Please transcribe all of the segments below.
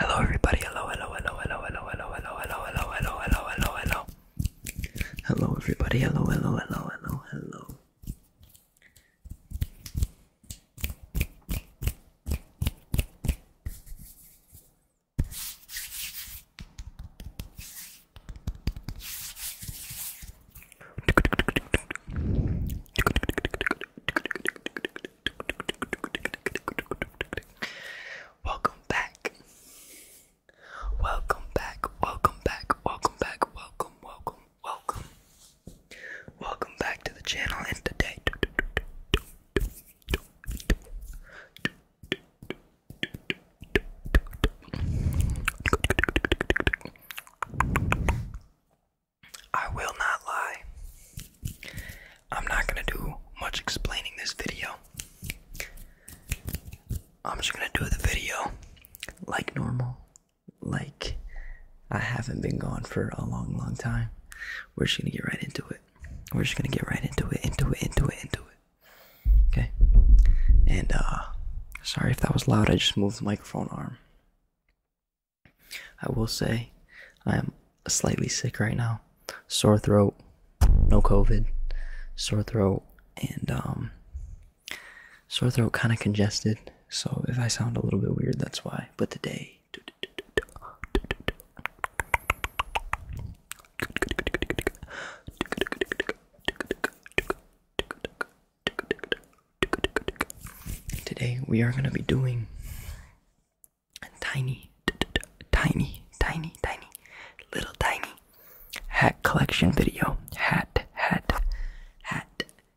Hello everybody, hello, hello, hello, hello, hello, hello, hello, hello, hello, hello, hello, hello, hello. Hello everybody, hello, hello, hello, hello, hello. Welcome back. Welcome back. Welcome back. Welcome back. Welcome, welcome, welcome. Welcome back to the channel and today I will not lie. I'm not going to do much explaining this video. I'm just going to do the video like normal. Like I haven't been gone for a long, long time we're just gonna get right into it. We're just gonna get right into it, into it, into it, into it. Okay. And uh sorry if that was loud, I just moved the microphone arm. I will say I am slightly sick right now. Sore throat, no COVID, sore throat and um sore throat kinda congested. So if I sound a little bit weird, that's why. But today Today we are going to be doing a tiny, tiny, tiny, tiny, little tiny hat collection video. Hat, hat, hat,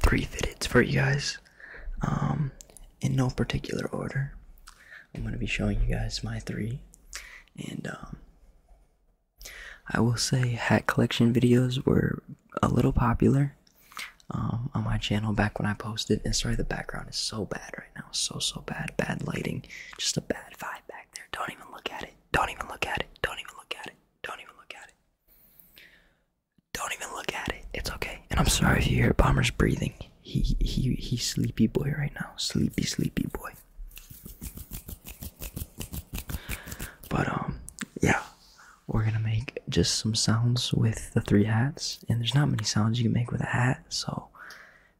Three fitteds for you guys, um, in no particular order. I'm going to be showing you guys my three, and um, I will say hat collection videos were a little popular um, on my channel back when I posted. And sorry, the background is so bad right now, so so bad, bad lighting, just a bad vibe back there. Don't even look at it. Don't even look at it. Don't even look at it. Don't even look at it. Don't even look at it. It's okay. And I'm sorry if you hear Bomber's breathing. He he he's sleepy boy right now. Sleepy sleepy boy. But um yeah. We're gonna make just some sounds with the three hats, and there's not many sounds you can make with a hat, so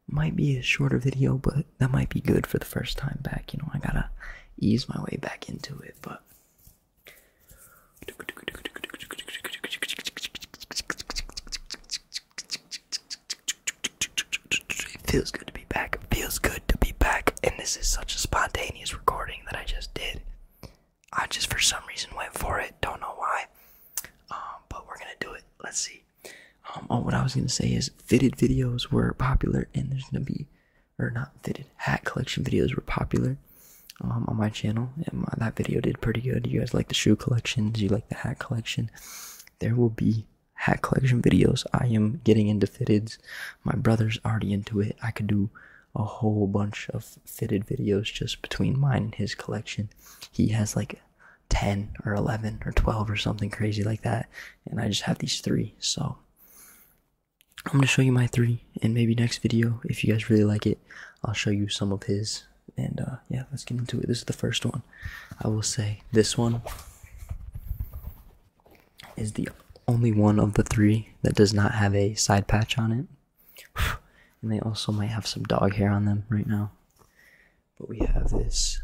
might be a shorter video, but that might be good for the first time back. You know, I gotta ease my way back into it, but. It feels good to be back. It feels good to be back. And this is such a spontaneous recording that I just did. I just, for some reason, went for it. Don't know why. Um, but we're gonna do it. Let's see. Um, oh, what I was gonna say is fitted videos were popular, and there's gonna be, or not fitted hat collection videos were popular, um, on my channel. And that video did pretty good. You guys like the shoe collections, you like the hat collection. There will be hat collection videos. I am getting into fitteds. My brother's already into it. I could do a whole bunch of fitted videos just between mine and his collection. He has like 10 or 11 or 12 or something crazy like that and i just have these three so i'm going to show you my three and maybe next video if you guys really like it i'll show you some of his and uh, yeah let's get into it this is the first one i will say this one is the only one of the three that does not have a side patch on it and they also might have some dog hair on them right now but we have this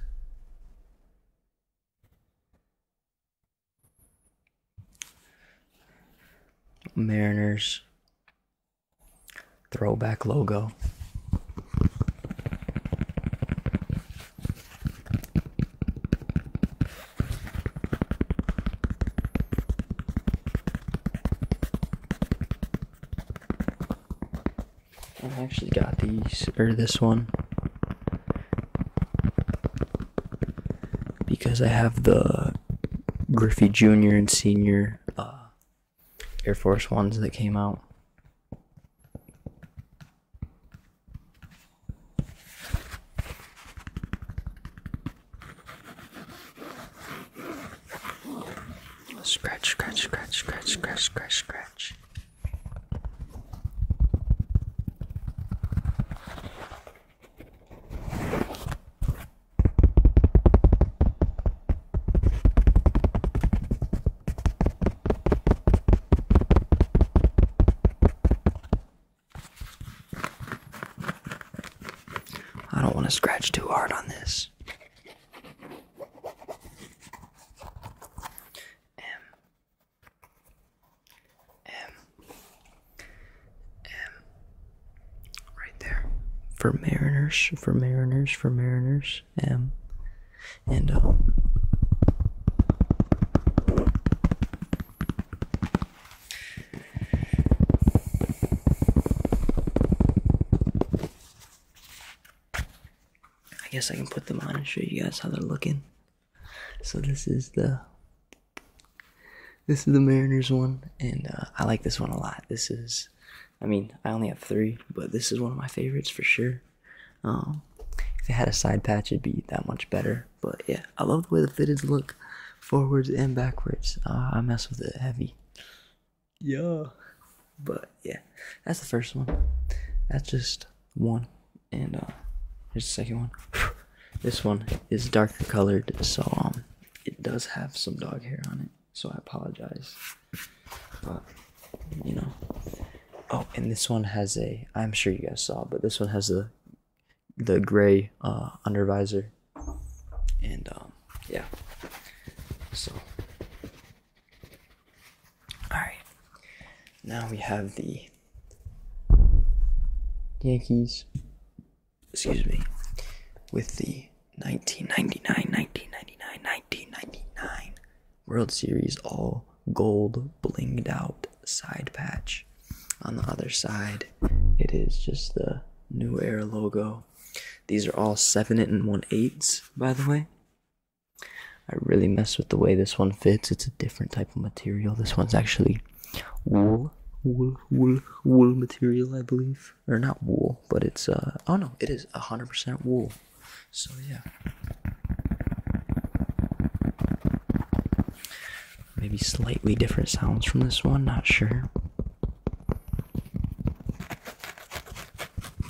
Mariners throwback logo. I actually got these, or this one, because I have the Griffey Jr. and Senior uh, Air Force Ones that came out. Scratch, scratch, scratch, scratch, scratch, scratch, scratch. I don't want to scratch too hard on this. M M M right there for mariners for mariners for mariners M and um I guess I can put them on and show you guys how they're looking. So this is the this is the Mariners one, and uh, I like this one a lot. This is, I mean, I only have three, but this is one of my favorites for sure. Um, if it had a side patch, it'd be that much better. But yeah, I love the way the fit is look, forwards and backwards. Uh, I mess with it heavy yeah but yeah that's the first one that's just one and uh here's the second one this one is darker colored so um it does have some dog hair on it so i apologize but you know oh and this one has a i'm sure you guys saw but this one has the the gray uh under visor and um yeah so all right. Now we have the Yankees. Excuse me. With the 1999, 1999, 1999 World Series all gold blinged out side patch. On the other side, it is just the New Era logo. These are all 7 and 1 eighths, by the way. I really mess with the way this one fits. It's a different type of material. This one's actually wool, wool, wool, wool material, I believe. Or not wool, but it's, uh, oh no, it is 100% wool. So yeah. Maybe slightly different sounds from this one, not sure.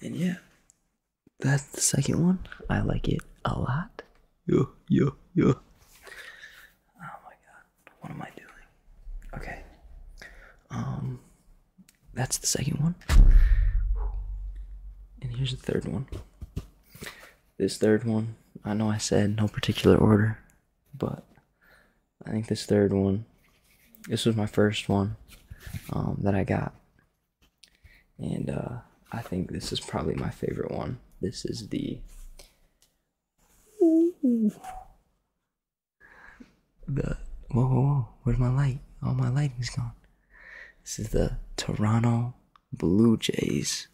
And yeah, that's the second one. I like it a lot. Yo, yo, yo. Oh my god, what am I doing? Okay. Um, that's the second one. And here's the third one. This third one, I know I said no particular order, but I think this third one this was my first one um, that I got, and uh, I think this is probably my favorite one. This is the the whoa, whoa, whoa. Where's my light? All my lighting's gone. This is the Toronto Blue Jays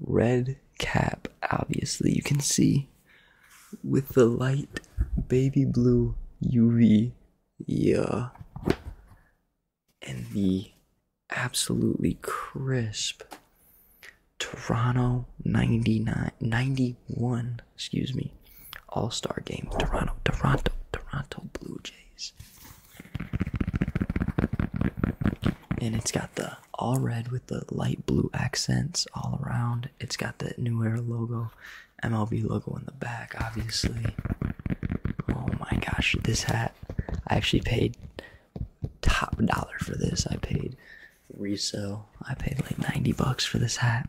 red cap. Obviously, you can see with the light baby blue UV. Yeah. And the absolutely crisp Toronto 99 91, excuse me. All-Star game Toronto Toronto Toronto Blue Jays. And it's got the all red with the light blue accents all around. It's got the new era logo. MLB logo in the back, obviously. Oh my gosh, this hat. I actually paid top dollar for this. I paid resale. I paid like 90 bucks for this hat.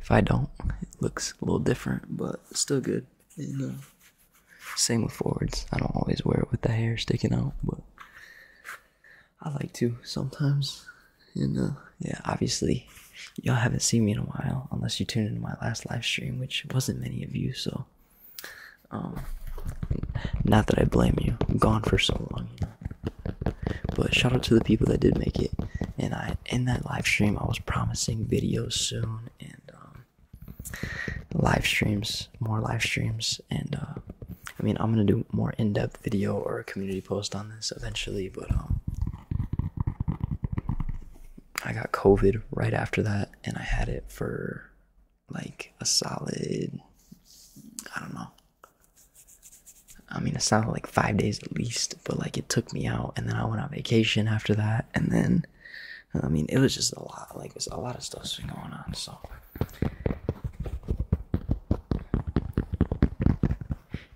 If I don't, it looks a little different, but still good. You know. Same with forwards. I don't always wear it with the hair sticking out, but I like to sometimes. You know, yeah, obviously, y'all haven't seen me in a while unless you tuned into my last live stream, which wasn't many of you. So, um, not that I blame you. I'm gone for so long. But shout out to the people that did make it, and I in that live stream, I was promising videos soon and um, live streams, more live streams. And uh, I mean, I'm gonna do more in-depth video or a community post on this eventually, but um, I got COVID right after that, and I had it for like a solid, I don't know. I mean, it sounded like five days at least, but like it took me out and then I went on vacation after that and then I mean it was just a lot like there's a lot of stuff's been going on so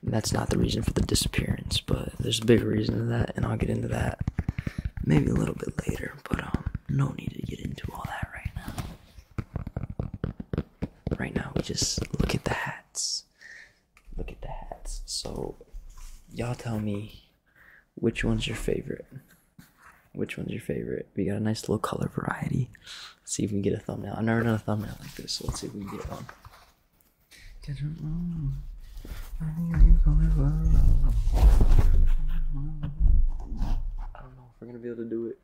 that's not the reason for the disappearance but there's a bigger reason to that and I'll get into that maybe a little bit later but um no need to get into all that right now. Right now, we just look at the hats. Look at the hats. So, y'all tell me which one's your favorite. Which one's your favorite? We got a nice little color variety. Let's see if we can get a thumbnail. I've never done a thumbnail like this, so let's see if we can get one. I don't know. I don't know if we're gonna be able to do it.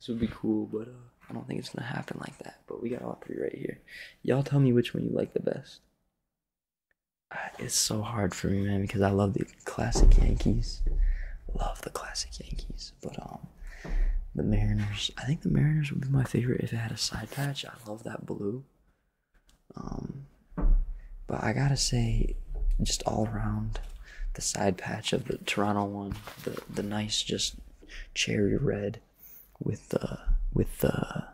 This would be cool, but uh, I don't think it's gonna happen like that. But we got all three right here. Y'all tell me which one you like the best. Uh, it's so hard for me, man, because I love the classic Yankees. Love the classic Yankees, but um, the Mariners. I think the Mariners would be my favorite if it had a side patch. I love that blue. Um, but I gotta say, just all around, the side patch of the Toronto one, the the nice just cherry red with the with the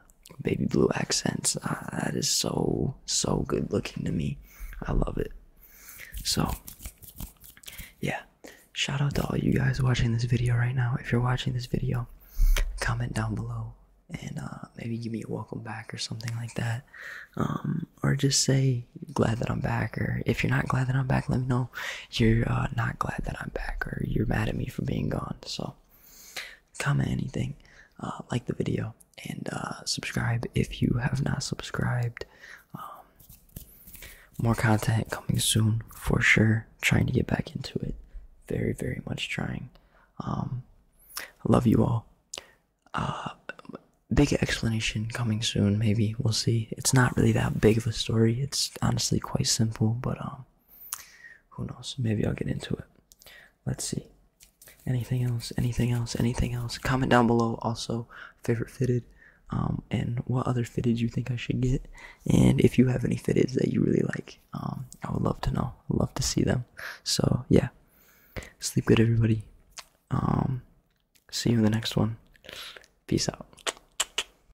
baby blue accents. Ah, that is so so good looking to me. I love it. So yeah, shout out to all you guys watching this video right now. If you're watching this video, comment down below and uh, maybe give me a welcome back or something like that. Um, or just say glad that I'm back. Or if you're not glad that I'm back, let me know you're uh, not glad that I'm back or you're mad at me for being gone. So comment anything, uh, like the video, and uh, subscribe if you have not subscribed. Um, more content coming soon for sure. Trying to get back into it. Very, very much trying. Um, love you all. big explanation coming soon maybe we'll see it's not really that big of a story it's honestly quite simple but um who knows? Maybe I'll get into it. Let's see. Anything else? Anything else? Anything else? Comment down below. Also, favorite fitted, um, and what other fitted you think I should get, and if you have any fitteds that you really like, um, I would love to know. love to see them. So yeah, sleep good, everybody. Um, see you in the next one. Peace out.